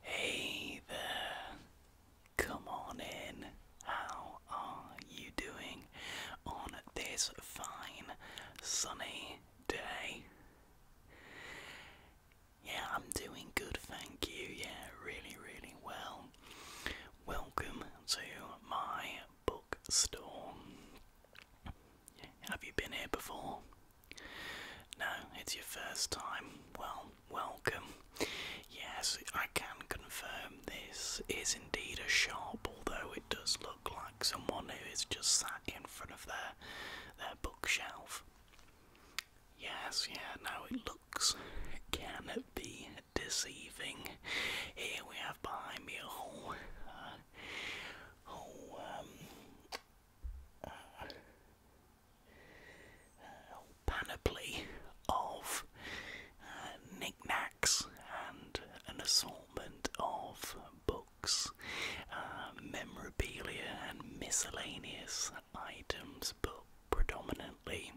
Hey there, come on in. How are you doing on this fine sunny day? Yeah, I'm doing good, thank you. Yeah, really, really well. Welcome to my bookstore. Have you been here before? No, it's your first time. Well, welcome. Yes, I can confirm this is indeed a shop, although it does look like someone who has just sat in front of their their bookshelf. Yes, yeah, now it looks can it be deceiving. Here we have behind me a whole uh, um uh, uh, panoply of uh, knickknacks and an assortment of books, uh, memorabilia, and miscellaneous items, but predominantly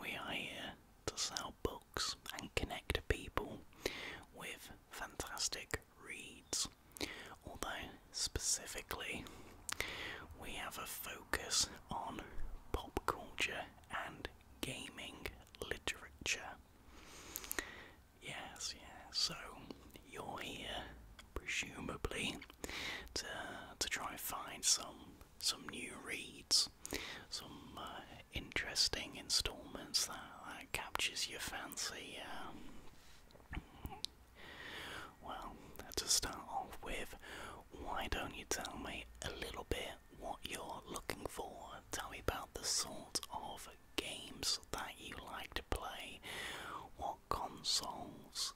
we are here to sell books and connect people with fantastic reads. Although, specifically, we have a focus on pop culture and gaming literature. Yes, yeah, so you're here, presumably, to, to try and find some, some new reads, some uh, interesting installments that, that captures your fancy. Uh, well, to start off with, why don't you tell me a little bit what you're looking for? Tell me about the sort of games that you like to play, what consoles,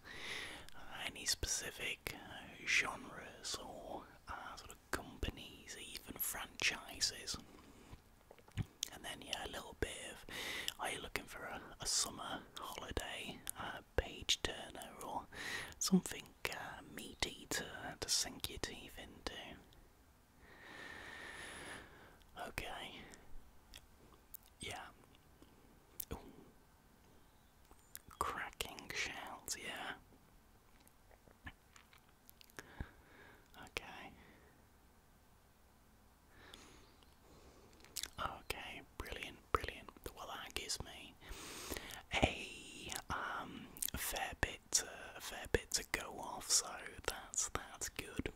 uh, any specific uh, genres or uh, sort of companies, even franchises. And then, yeah, a little bit of are you looking for a, summer holiday, a page turner, or something uh, meaty to, sink your teeth into? Okay. Yeah. Cracking shells, yeah. Okay. Okay, brilliant, brilliant. Well, that gives me a um, fair bit, a fair bit to go off. So that's that's good.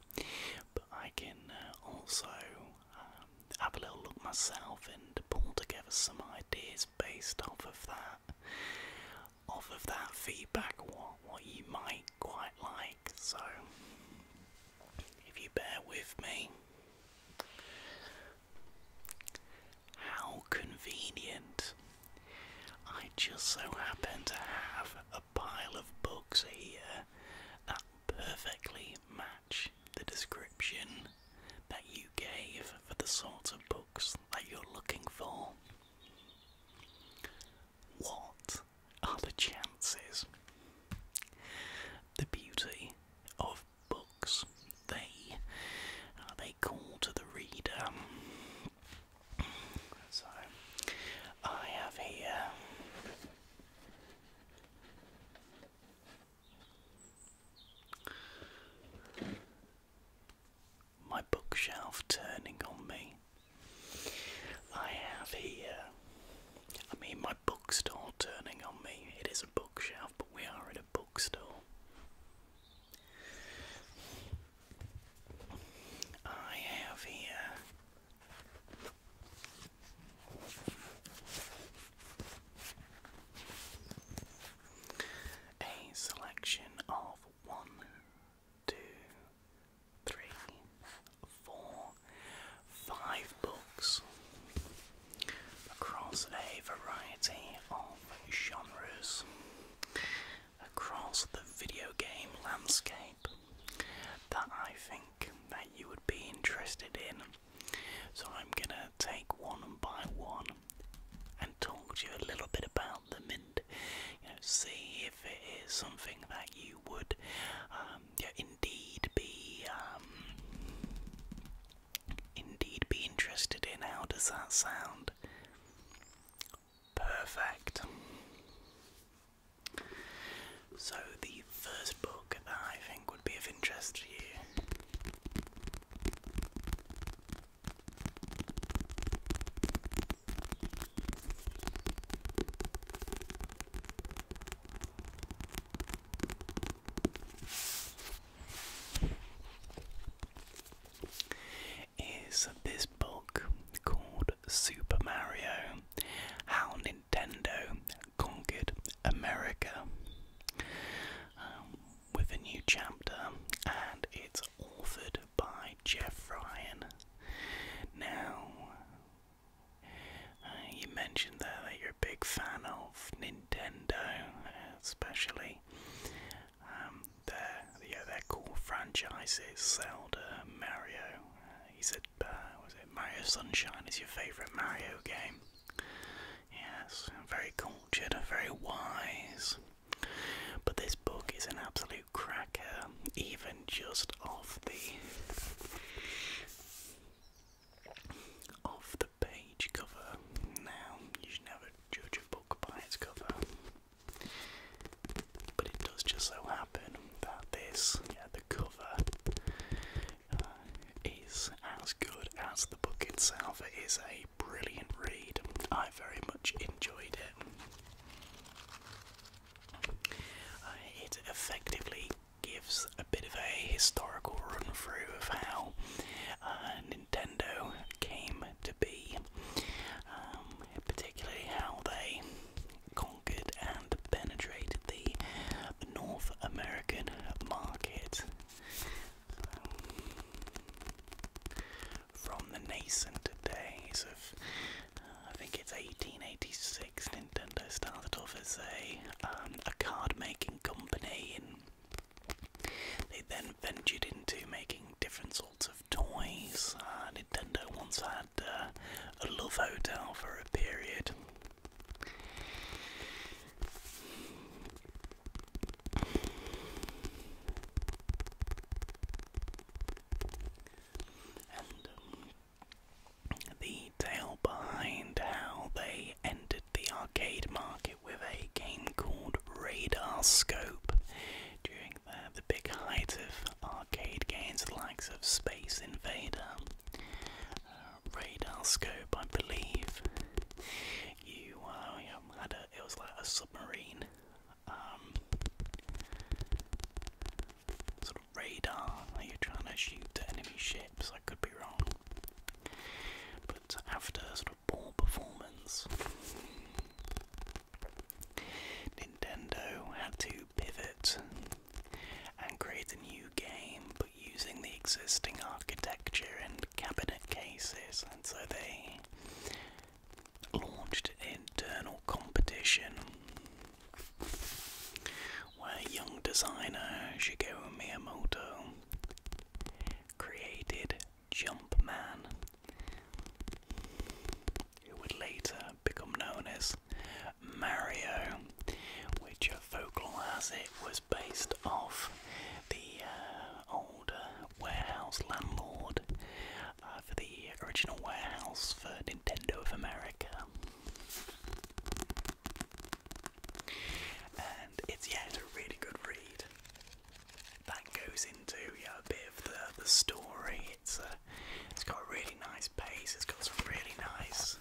But I can uh, also um, have a little look myself and pull together some ideas based off of that, off of that feedback. What what you might quite like. So, if you bear with me, how convenient. I just so happen to have a pile of books here that perfectly match the description that you gave for the sort of books that you're looking for. What are the chances. The beauty of books, they they call to the reader. So I have here. My bookshelf turning on me I have here. I mean, my bookstore turning on me. It is a bookshelf, but we are in a bookstore. I have here. A selection of one, two, three, four, five books across a variety of genres, across the video game landscape that I think that you would be interested in. So I'm gonna take one by one and talk to you a little bit about them and see if it is something that you would um, yeah, indeed be um, indeed be interested in. How does that sound? Perfect. So the first book I think would be of interest to you is this book called Super Mario How Nintendo Conquered America um, with a new chapter, and it's authored by Jeff Ryan. Now, uh, you mentioned there that you're a big fan of Nintendo, especially um, their yeah, their core franchises: Zelda, Mario. He uh, said uh, was it Mario Sunshine is your favourite Mario game? Yes, very cultured, very wise. But this book is an absolute cracker, even just off the of the page cover. Now, you should never judge a book by its cover, but it does just so happen that this, the cover, uh, is as good as the book itself. It is a brilliant read. I very much enjoyed it. Uh, it effectively gives a bit of a historical run through of how uh, Nintendo came to be, um, particularly how they conquered and penetrated the North American market. from the nascent days of I think it's 1886. Nintendo started off as a um, a card making company, and they then ventured into making different sorts of toys. Uh, Nintendo once had uh, a love hotel for a period. Um, the tale behind how they entered the arcade market with a game called Radar Scope during the, big height of arcade games, likes of Space Invader. Uh, Radar Scope, I believe. You, uh, had a, it was like a submarine. Um, sort of radar that you trying to shoot enemy ships. I could be wrong. But after sort of poor performance, Nintendo had to pivot and create a new game, but using the existing architecture and cabinet cases, and so they launched internal competition where young designer Shigeru Miyamoto created Jumpman, who would later become known as Mario, which folklore as it was based off the uh, old uh, warehouse landlord uh, for the original warehouse for Nintendo of America. And it's yeah, a really good read. That goes into yeah, a bit of the the story. It's a, uh, it's got a really nice pace. It's got some really nice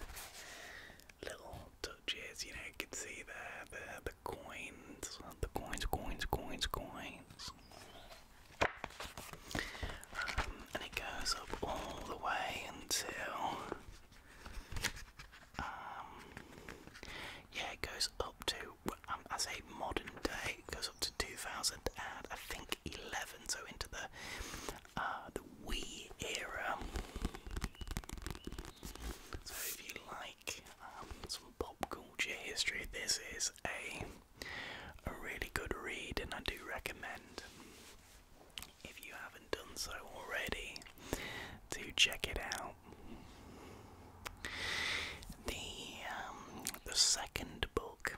little touches. You know, you can see the the the coins, the coins, coins, coins, coins. Um, and it goes up all the way until um, yeah, it goes up to um, I say modern day, it goes up to 2000 and I think 11, so into the uh, the Wii era. So if you like um, some pop culture history, this is a a really good read, and I do recommend if you haven't done so already, to check it out. The um, the second book.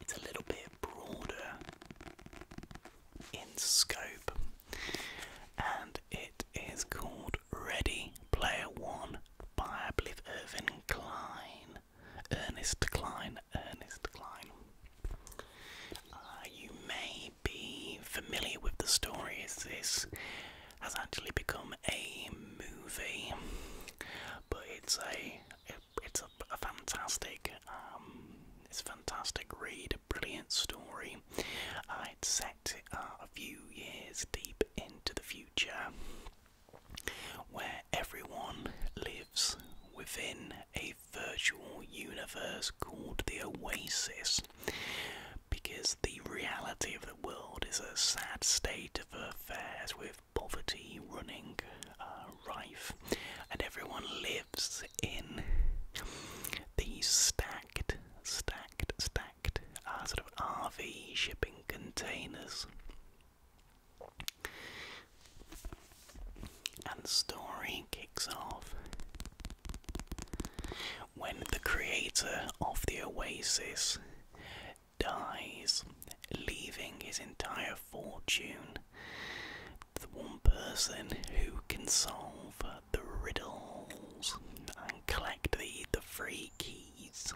It's a little bit broader in scope, and it is called Ready Player One by I believe Irvin Klein. Ernest Decline. Ernest Decline. Uh, you may be familiar with the story this has actually become a movie, but it's a it's a, fantastic um, it's a fantastic read, a brilliant story. Uh, it's set uh, a few years deep into the future where everyone lives within a virtual universe called the Oasis, because the reality of the world is a sad state of affairs with poverty running uh, rife, and everyone lives in these stacked, stacked, stacked uh, sort of RV shipping containers. And the story kicks off when the creator of the Oasis dies, leaving his entire fortune to the one person who can solve the riddles and collect the, the free keys.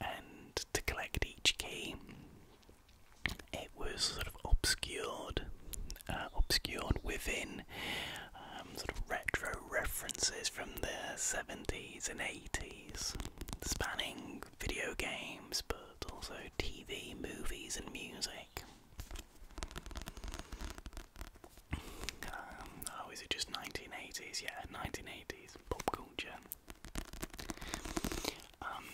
And to collect each key, it was sort of obscured, uh, obscured within um, sort of retro references from the 70s and 80s, spanning video games but also TV, movies, and music. Um, oh, is it just 1980s? Yeah, 1980s pop culture. Um,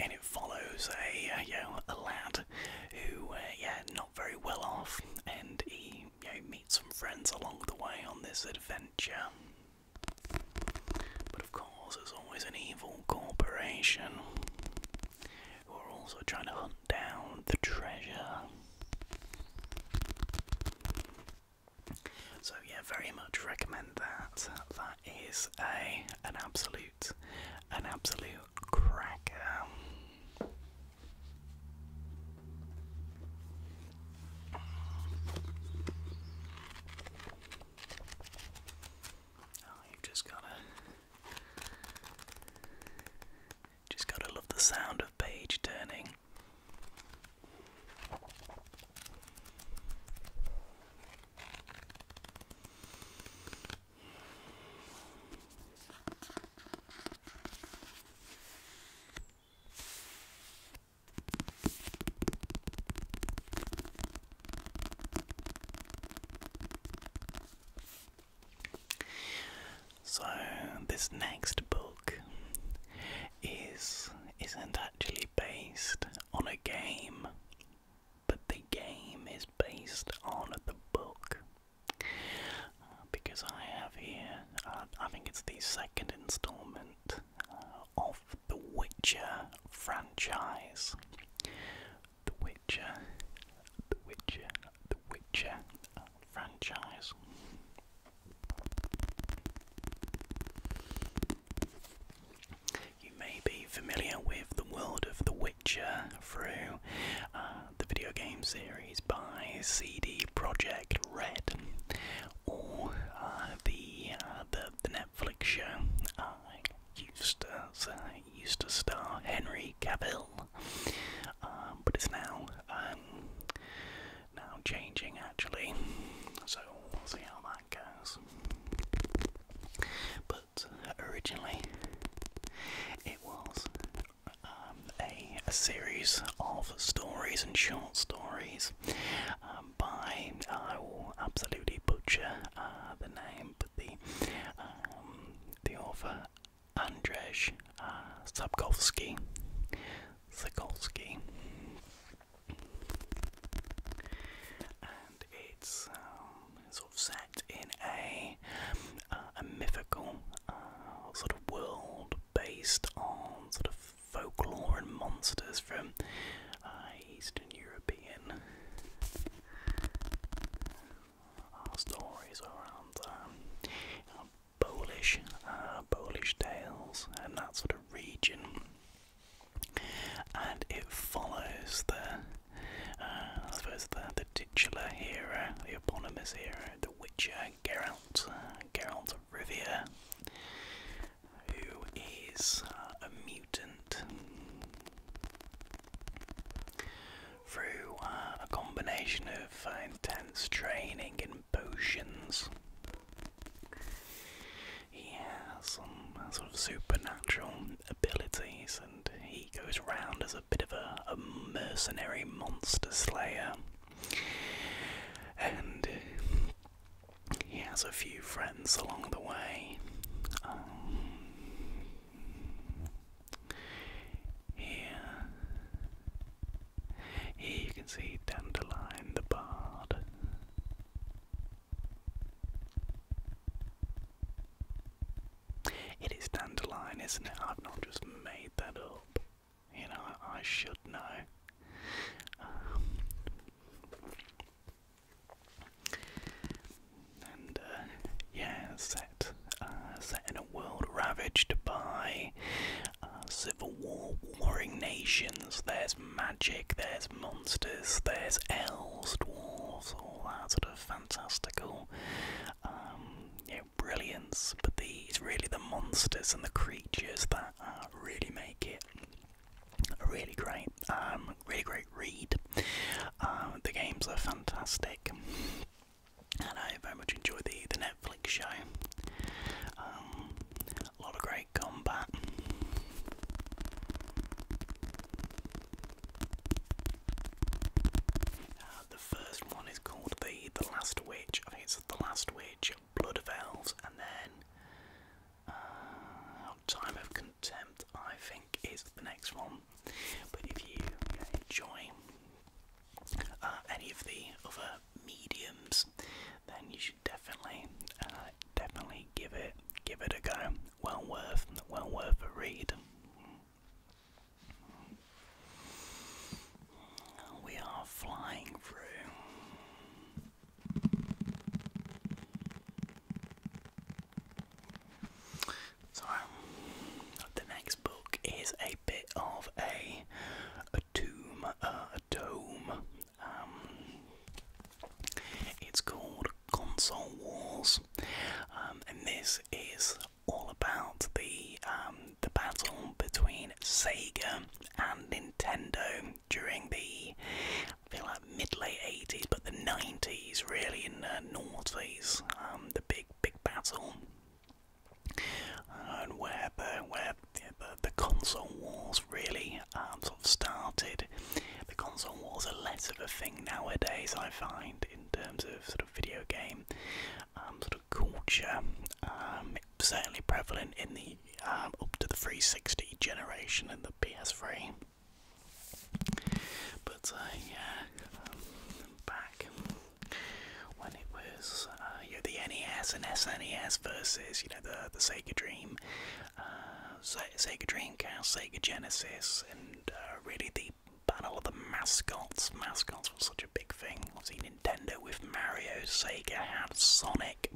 and it follows a uh, you know a lad who uh, yeah not very well off, and he you know, meets some friends along the way on this adventure. But of course, there's always an evil corporation who are also trying to hunt down the treasure. So yeah, very much recommend that. That is a an absolute an absolute cracker. Oh, you just gotta just gotta love the sound of page turning. So, this next book is isn't actually based on a game, but the game is based on the book. because I have here, uh, I think it's the second installment uh, of the Witcher franchise. The Witcher, The Witcher, The Witcher uh, franchise. You may be familiar with the world of The Witcher through uh, the video game series by CD Projekt Red, or uh, uh, the, the Netflix show used to used to star Henry Cavill, um, but it's now um, now changing actually, so we'll see how that goes. But originally, it was um, a, series of stories and short stories um, by, I will absolutely butcher uh, the name, but the, um, the author Andrzej uh, Sapkowski and um, it's sort of set in a uh, a mythical uh, sort of world based on sort of folklore and monsters from uh, Eastern European stories around um, Polish, uh, Polish Tales, and that sort of region. And it follows the, uh, I suppose the, the titular hero, the eponymous hero, the Witcher Geralt, uh, Geralt of Rivia, who is a mutant through a combination of uh, intense training and potions. He has some sort of supernatural abilities, and he goes around as a bit of a, a mercenary monster slayer. And he has a few friends along the way. Um, here here you can see Dandelion the Bard. It is Dandelion, isn't it? I've not just made that up. You know, I should know. Um, and uh, yeah, set uh, set in a world ravaged by uh, Civil War, warring nations, there's magic, there's monsters, there's elves, dwarves, all that sort of fantastical um, brilliance. But these, it's really the monsters and the creatures that uh, really make it a really great, um, really great read. Uh, the games are fantastic, and I very much enjoy the the Netflix show. Um, a lot of great combat. Uh, the first one is called the the Last Witch. I think it's the Last Witch, Blood of Elves, and then uh, oh, Time of Contempt. I think is the next one. But if you enjoy uh, any of the other mediums, then you should definitely, uh, definitely give it, give it a go. Well worth, well worth a read. We are flying through. So the next book is a bit of a a tomb, uh, dome. Um, it's called Console Wars, um, and this is all about the um, the battle between Sega and Nintendo during the feel like mid late eighties, but the nineties really in the noughties, um, the big big battle. And where the, where yeah, the, console wars really um, sort of started. The console wars are less of a thing nowadays, I find, in terms of sort of video game um, sort of culture. Um, certainly prevalent in the up to the 360 generation and the PS3. But uh, yeah, back when it was uh, you know, the NES and SNES versus you know the the Sega Dream, uh, Sega Dreamcast, Sega Genesis, and uh, really the battle of the mascots. Mascots was such a big thing. I Obviously, Nintendo with Mario, Sega had Sonic.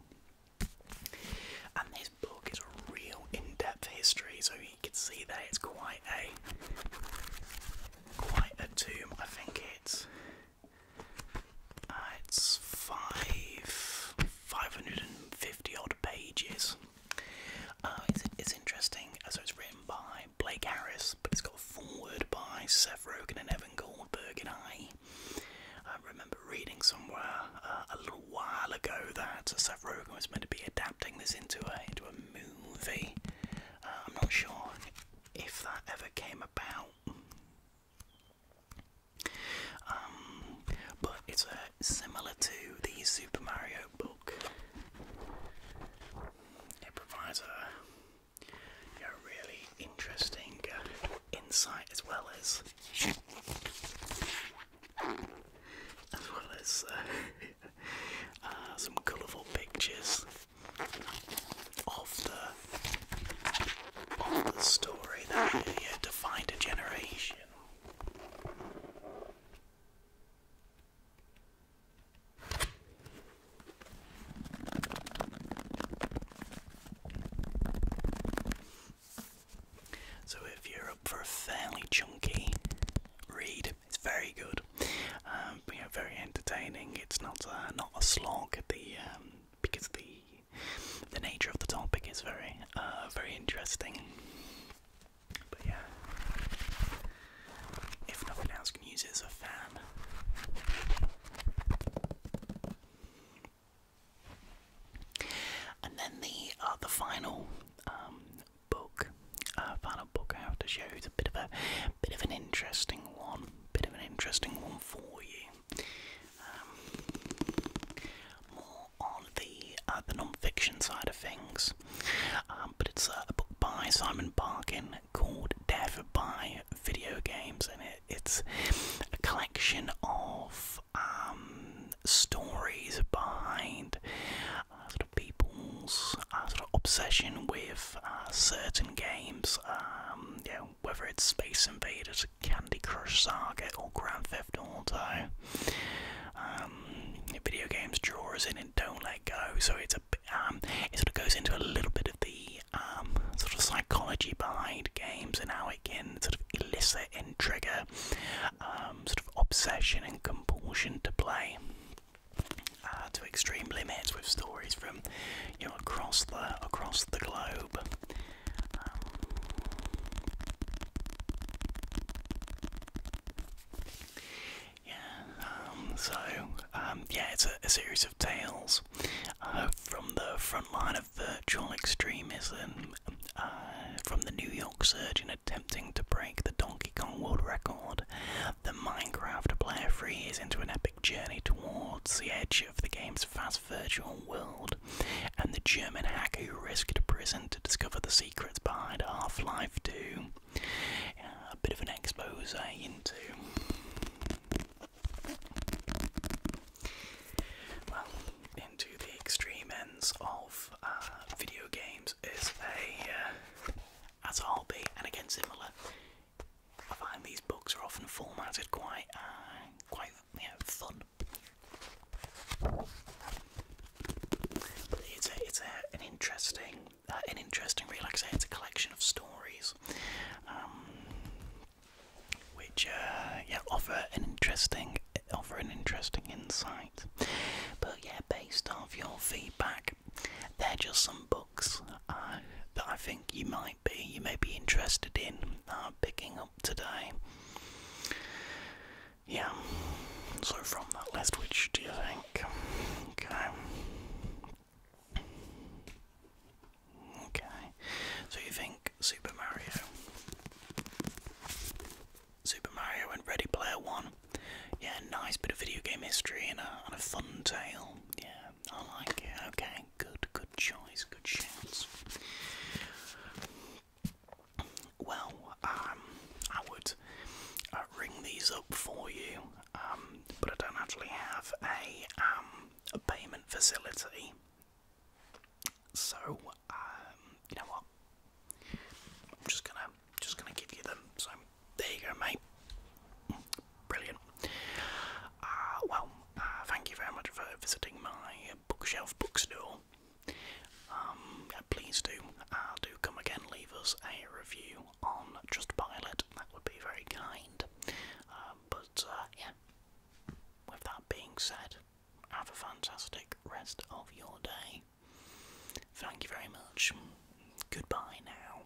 And this book is a real in-depth history, so you can see that it's quite a quite a tomb. I think it's uh, it's five, 550 odd pages. Uh, it's, it's interesting, uh, so it's written by Blake Harris, but it's got a foreword by Seth Rogen and Evan Goldberg and I. I remember reading somewhere uh, a little while ago that Seth Rogen was meant to be adapting this into a, into a movie. I'm not sure if that ever came about. Um, but it's similar to the Super Mario book. It provides a, really interesting uh, insight as well as as well as uh, uh, some colourful pictures of the of the story that we're to find a generation. So, if you're up for a fairly chunky read, it's very good. Um, very entertaining. It's not uh, not a slog. Um, because the the nature of the topic is very, uh, very interesting. But yeah, if nothing else, can use as a fan. And then the uh, final um, book, uh, final book I have to show is a bit of a bit of an interesting one, bit of an interesting one for you. Um, more on the uh, the non-fiction side of things. Um, but it's a book by Simon Barkin called Death by Video Games, and it's a collection of um, stories behind sort uh, of people's uh, sort of obsession with certain games. you know, whether it's Space Invaders, Candy Crush Saga or Grand Theft Auto. Um, video games draw us in and don't let go. So it's a um, it sort of goes into a little bit of the um, sort of psychology behind games and how it can sort of elicit and trigger sort of obsession and compulsion to play. Uh, to extreme limits with stories from you know across the across the globe. Um, yeah, um, so, um, yeah, it's a, series of tales uh, from the front line of virtual extremism, uh, from the New York surgeon attempting to break the Donkey Kong world record, the Minecraft player frees into an epic journey towards the edge of the game's vast virtual world, and the German hacker who risked prison to discover the secrets behind Half Life 2. Uh, a bit of an expose into. Well, into the extreme ends of uh, video games is a uh, as a be, and again similar. I find these books are often formatted quite uh, quite you fun. it's a, it's a, an interesting, uh, an interesting read. it's a collection of stories, um, which uh, yeah offer an interesting, offer an interesting insight. But yeah, based off your feedback, they're just some books uh, that I think you might be you may be interested in uh, picking up today. Yeah, so from that list, which do you think? Okay. Okay, so you think Super Mario? Super Mario and Ready Player One. Yeah, nice bit of video game history and a fun tale. Yeah, I like it. Okay, Good, good choice, good chance. Well, um, I would uh, ring these up for you, um, but I don't actually have a um, a payment facility. So, you know what? I'm just gonna just gonna give you them. So there you go, mate. Brilliant. Uh, well, uh, thank you very much for visiting my bookshelf book store. Um, yeah, please do, uh, do come again, leave us a review on Trustpilot, that would be very kind. Uh, but uh, yeah, with that being said, have a fantastic rest of your day. Thank you very much. Goodbye now.